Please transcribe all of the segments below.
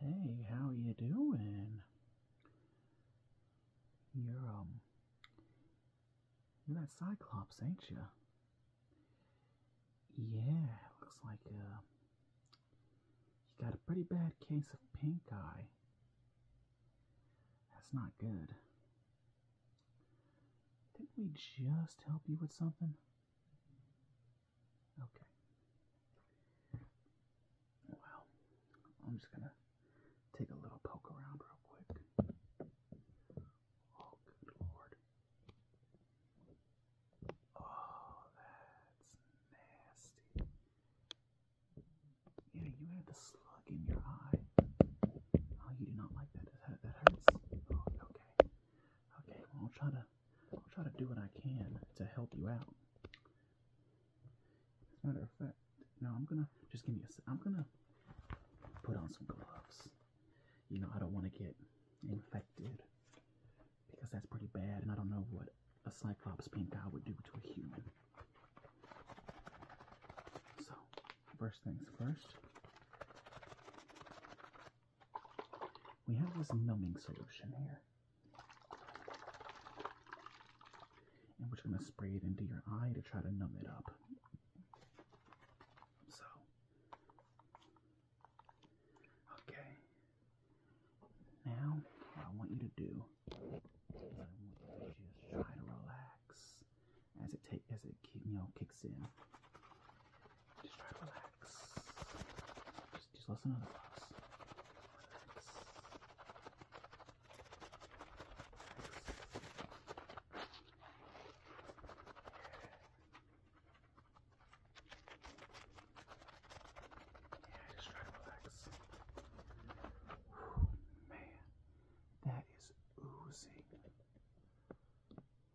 Hey, how you doing? You're um You're that Cyclops, ain't you? Yeah, looks like uh you got a pretty bad case of pink eye. That's not good. Didn't we just help you with something? Okay. Well, I'm just gonna take a little poke around real quick. Oh, good lord. Oh, that's nasty. Yeah, you had the slug in your eye. Oh, you do not like that. That, hurts. Oh, okay. Okay, I'll try to I'll try to do what I can to help you out. As a matter of fact, no, I'm gonna just give me i am I'm gonna put on some gloves. You know, I don't want to get infected because that's pretty bad, and I don't know what a cyclops pink eye would do to a human. So, first things first, we have this numbing solution here. And we're going to spray it into your eye to try to numb it up. So, okay. Now, I want you to do just try to relax as it take as it you know kicks in. Just try to relax. Just, listen to the boss. Yeah, just try to relax. Whew, man. That is oozing.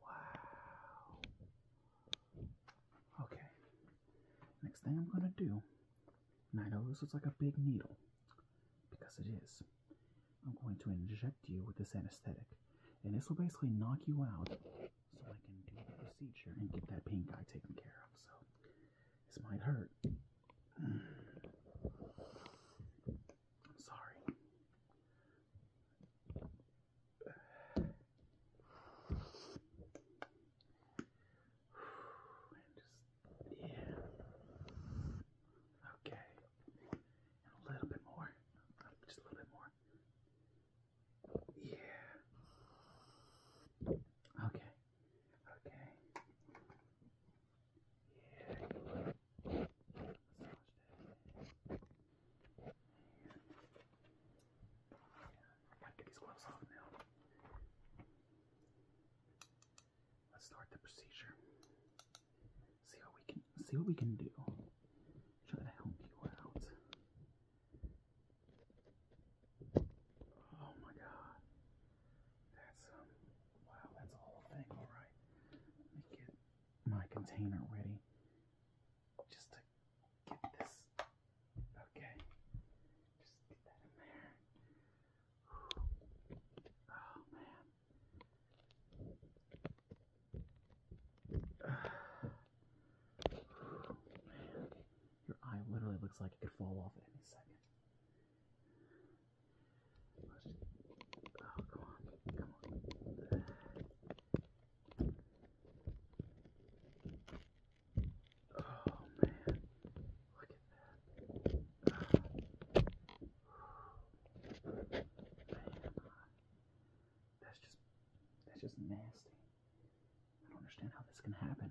Wow. Okay. Next thing I'm going to do, and I know this looks like a big needle, because it is, I'm going to inject you with this anesthetic. And this will basically knock you out so I can do the procedure and get that pain guy taken care of. So this might hurt. I'm sorry. yeah. Okay. a little bit more. Just a little bit more. Yeah. Okay. Okay. Yeah. Massage that. yeah. I these gloves off now. Let's start the procedure. See what we can see what we can do. Try to help you out. Oh my god. That's um, wow, that's a whole thing, alright. Let me get my container ready. Just to get this okay. Just get that in there. Oh man. Your eye literally looks like it could fall off any second. Let's, oh, come on, come on. Oh man, look at that. Oh. Man, that's just, that's just nasty. I don't understand how this can happen.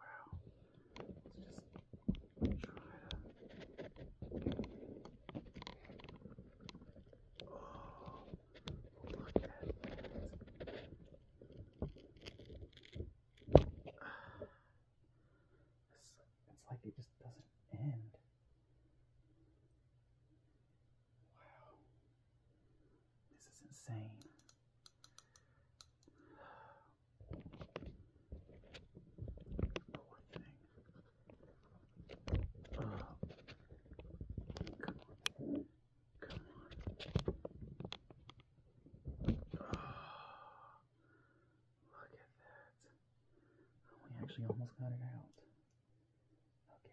Wow. Let's just try to. Oh, look at that. it's like it just doesn't end. Wow. This is insane. Poor thing. Oh. Come on. Come on. Oh. Look at that. We actually almost got it out. Okay.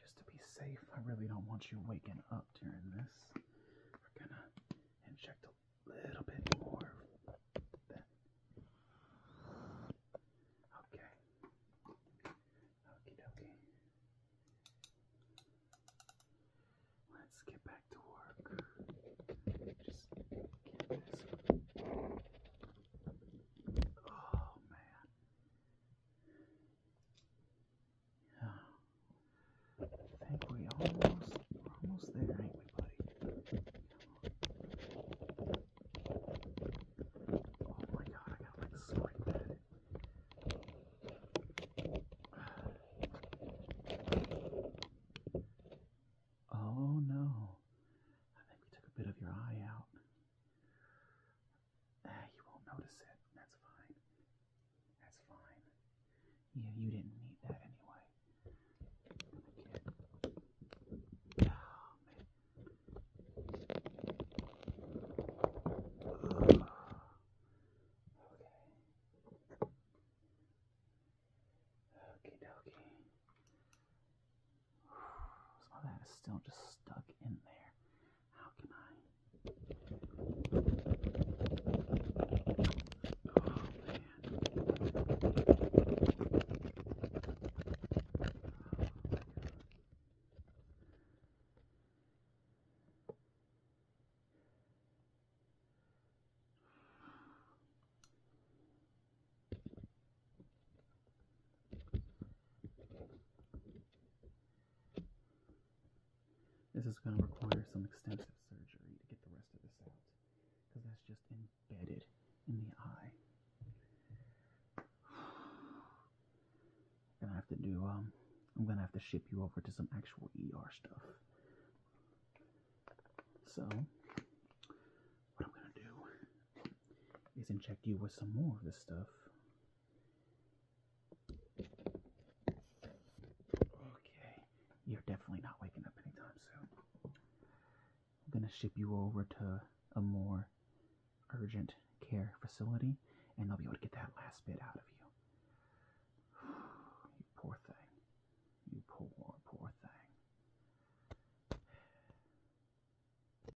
Just to be safe, I really don't want you waking up during this. We're gonna inject a little bit more. That. Okay. Okie Let's get back to work. Just get this. Oh man. Yeah. I think we almost we're almost there, ain't we, buddy? Oh my god, I got like slide that. Oh no. I think we took a bit of your eye out. Ah, you won't notice it. That's fine. That's fine. You, you didn't need that anyway. Okay. Oh, man. Ugh. Okay. Okie dokie. Some of that is still just stuck in there. How can I? Oh man. This is going to require some extensive surgery to get the rest of this out because that's just embedded in the eye. I'm gonna have to do um, I'm gonna have to ship you over to some actual ER stuff. So what I'm gonna do is inject you with some more of this stuff Okay, you're definitely not waking up anytime soon. I'm going to ship you over to a more urgent care facility, and they'll be able to get that last bit out of you. you poor thing. You poor, poor thing.